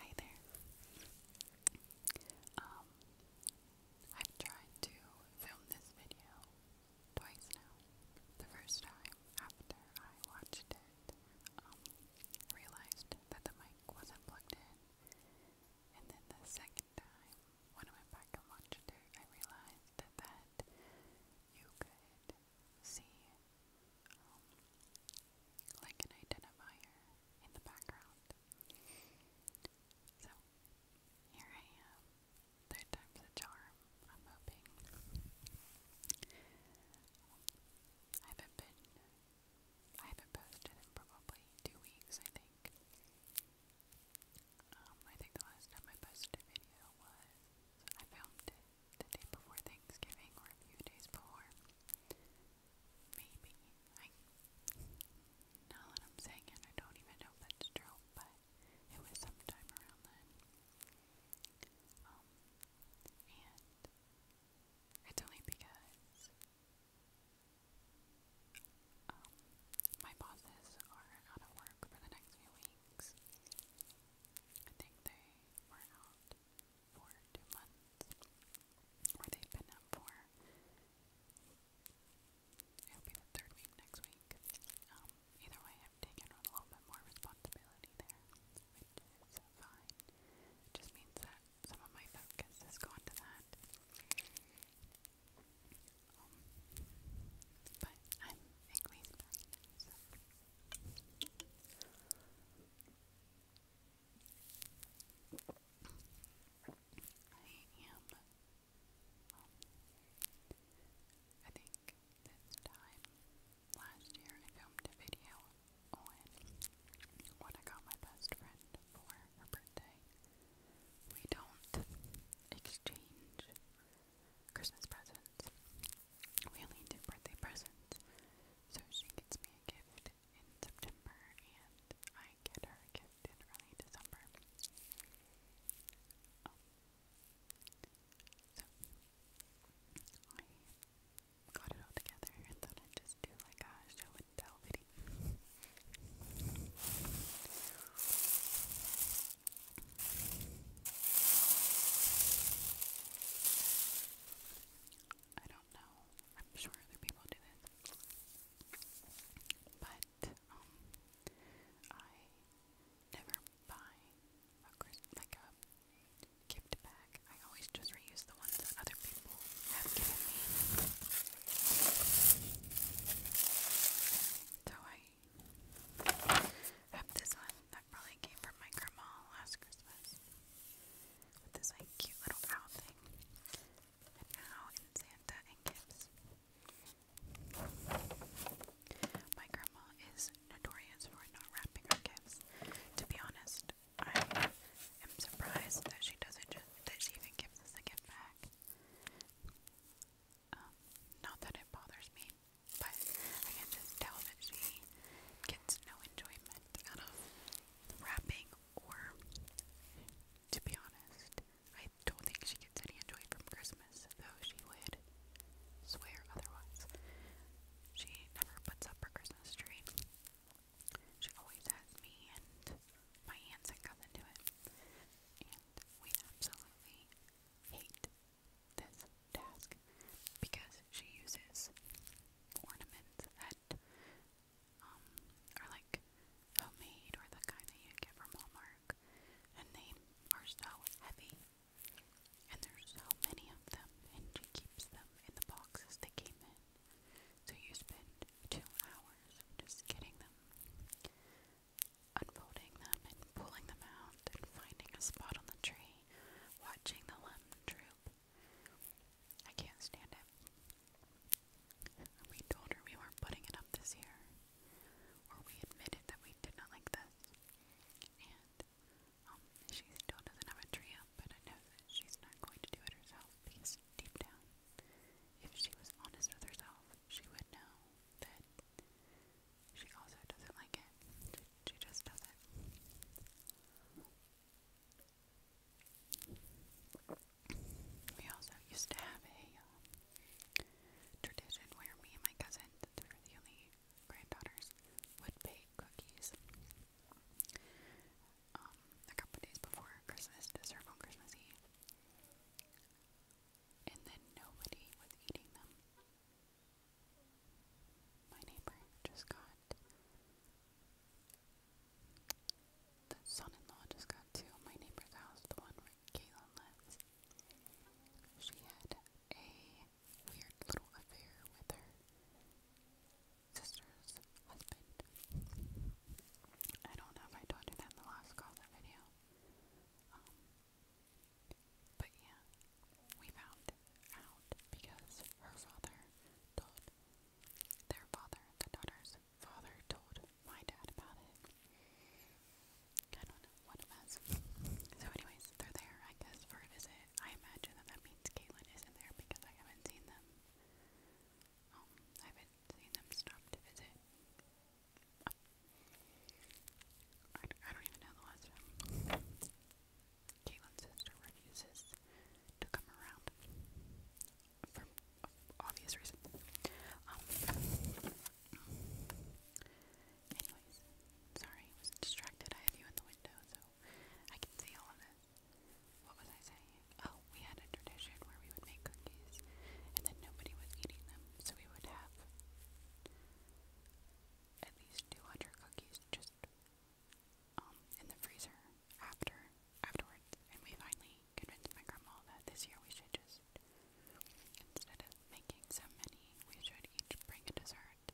Hi there. Um, I've tried to film this video twice now. The first time, after I watched it, um, realized that the mic wasn't plugged in. And then the second time, when I went back and watched it, I realized that you could see um, like an identifier in the background. So here I am. Third time's a charm, I'm hoping. I haven't been I haven't posted in probably two weeks, I think. Um, I think the last time I posted a video was I filmed it the day before Thanksgiving or a few days before. Maybe. I now that I'm saying it, I don't even know if that's true, but it was sometime around then. Um, and it's only because um, my bosses are out of work for the next few weeks. I think they were out for two months, or they've been out for. It'll be third week next week. Um, either way, I've taken on a little bit more responsibility there, which is fine. just means that some of my focus has gone to that. Um, but I'm at least back I am. Um, I think this time last year I filmed a video on what I got my best friend for her birthday. We don't exchange Christmas presents. We only do birthday presents. So she gets me a gift in September and I get her a gift in early December. Um, so I got it all together and thought I'd just do like a show and tell video. I don't know. I'm sure other people do this. But um I never buy a like gift bag. I always just reuse the ones that other people have given me. So I I have this one that probably came from my grandma last Christmas. With this like cute little owl thing. now in Santa and gifts. My grandma is notorious for not wrapping her gifts. To be honest, I am surprised that she doesn't just that even gives us a gift bag. Um, not that it bothers me, but I can just tell that she gets no enjoyment out of rapping, or to be honest, I don't think she gets any enjoyment from Christmas, though she would swear otherwise. She never puts up her Christmas tree. She always has me and my aunts and cousin do it we absolutely hate this task because she uses ornaments that um, are like homemade or the kind that you get from Hallmark, and they are so heavy. And there's so many of them, and she keeps them in the boxes they came in. So you spend two hours just getting them unfolding them and pulling them out and finding a spot on the tree, watching the lemon droop. I can't stand it. We told her we weren't putting it up this year, or we admitted that we did not like this. And um, she still doesn't have a tree up, but I know that she's not going to do it herself because deep down, if she was honest with herself, she would know that she also doesn't like it. She, just doesn't. We also used to have a um, tradition where me and my cousins, who were the only granddaughters, would bake cookies. Um, a couple days before Christmas to serve on Christmas Eve. And then nobody was eating them. My neighbor just got. The son in law just got to my neighbor's house, the one where Caitlin lives. She had a weird little affair with her sister's husband. I don't know if I told you that in the last caller video. Um, but yeah, we found out because her father told their father, the daughter's father, told my dad about it. I don't know what So, anyways, they're there, I guess, for a visit. I imagine that that means Caitlin isn't there because I haven't seen them. Um, I haven't I, don't even know the last time. Caitlin's sister refuses to come around for obvious reasons. Um, anyways, sorry, I was distracted. I have you in the window, so I can see all of it. What was I saying? Oh, we had a tradition where we would make cookies and then nobody was eating them, so we would have at least 200 cookies just um, in the freezer after afterwards. And we finally convinced my grandma that this year we should just, instead of making so many, we should each bring a dessert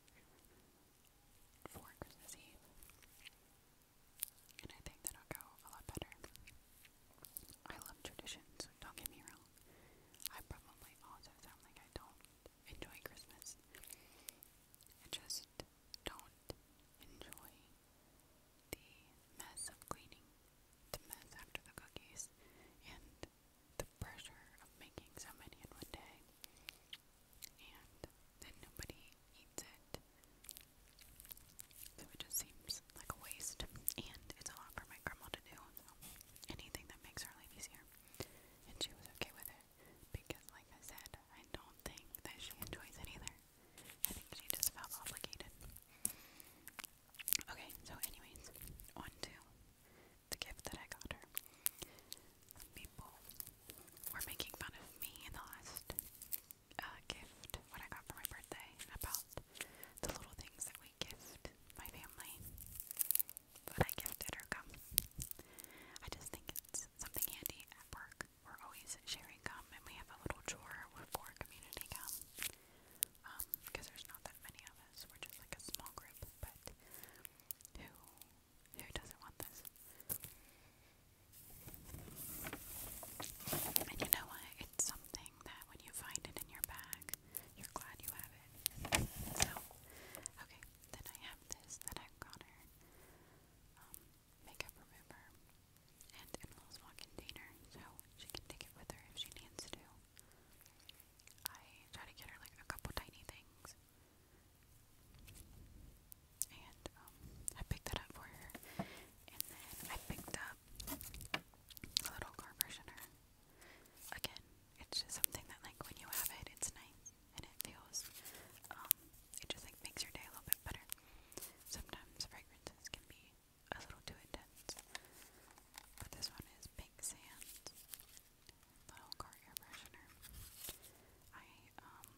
for Christmas Eve and I think that'll go a lot better. I love traditions, don't get me wrong. I probably also sound like I don't enjoy Christmas. I just don't enjoy the mess of cleaning, the mess after the cookies, and the pressure of making so many in one day and then nobody eats it. So it just seems like a waste, and it's a lot for my grandma to do. So anything that makes her life easier, and she was okay with it because, like I said, I don't think that she enjoys it either. I think she just felt obligated. Okay, so anyways, on to the gift that I got her people were making fun of me in the last uh, gift, what I got for my birthday, about the little things that we gift my family. But I gifted her gum. I just think it's something handy at work. We're always sharing gum, and we have a little drawer for community gum. because um, there's not that many of us. We're just like a small group, but who doesn't want this? And you know what? It's something that when you find it in your bag, you're glad you have it. So, okay, then I have this that I've got um, her um, makeup remover, and it will small container, so she can take it with her if she needs to. I try to get her like a couple tiny things and um, I picked that up for her. And then I picked up a little conversioner. Again, it's just something that, like, when you have it, it's nice and it feels, um, it just, like, makes your day a little bit better. Sometimes fragrances can be a little too intense, but this one is pink sand little car air freshener. I, um,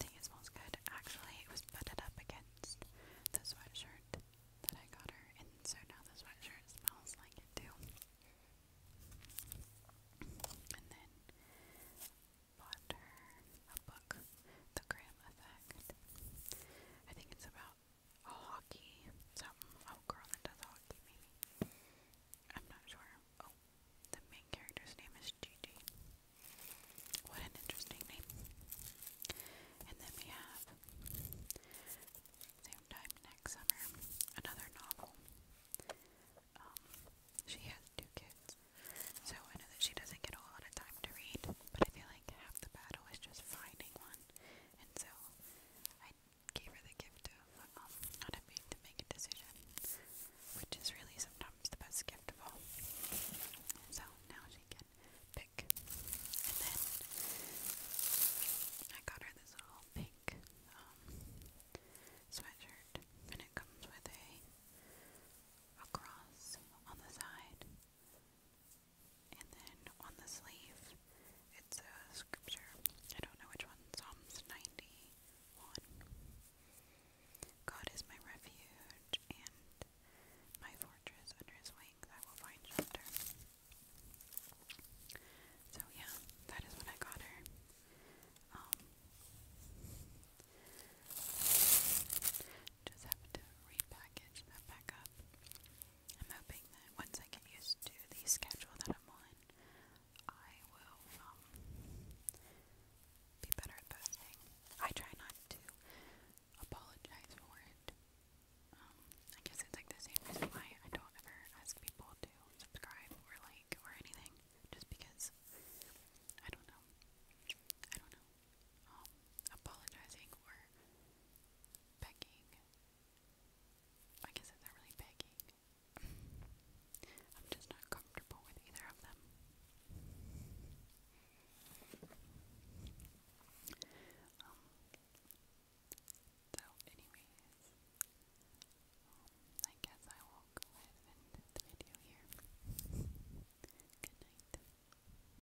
think it smells good. Actually, it was butted up against the sweatshirt that I got her, and so now the sweatshirt smells like it too. And then bought her a book, The Graham Effect. I think it's about a hockey something. Oh, girl that does hockey, maybe. I'm not sure. Oh, the main character's name is Gigi. What an interesting name. And then we have, same time next summer, another novel. Um, she has two kids, so I know that she doesn't get a lot of time to read, but I feel like half the battle is just finding one, and so I gave her the gift of not um, having to make a decision, which is really sometimes the best gift of all. So now she can pick. And then I got her this little pink um, sweatshirt, and it comes with a cross on the side and then on the sleeve, it's a scripture. I don't know which one. Psalms 91. God is my refuge and my fortress under his wings. I will find shelter. So, yeah, that is what I got her. Um, just have to repackage that back up. I'm hoping that once I get used to the schedule that I'm on, I will um, be better at posting. I try not to apologize for it. Um, I guess it's like the same reason why I don't ever ask people to subscribe or like or anything, just because I don't know. I don't know um, apologizing or begging. I guess it's not really begging. I'm just not comfortable with either of them. Um, so anyways, I guess I will go ahead and end the video here. Good night.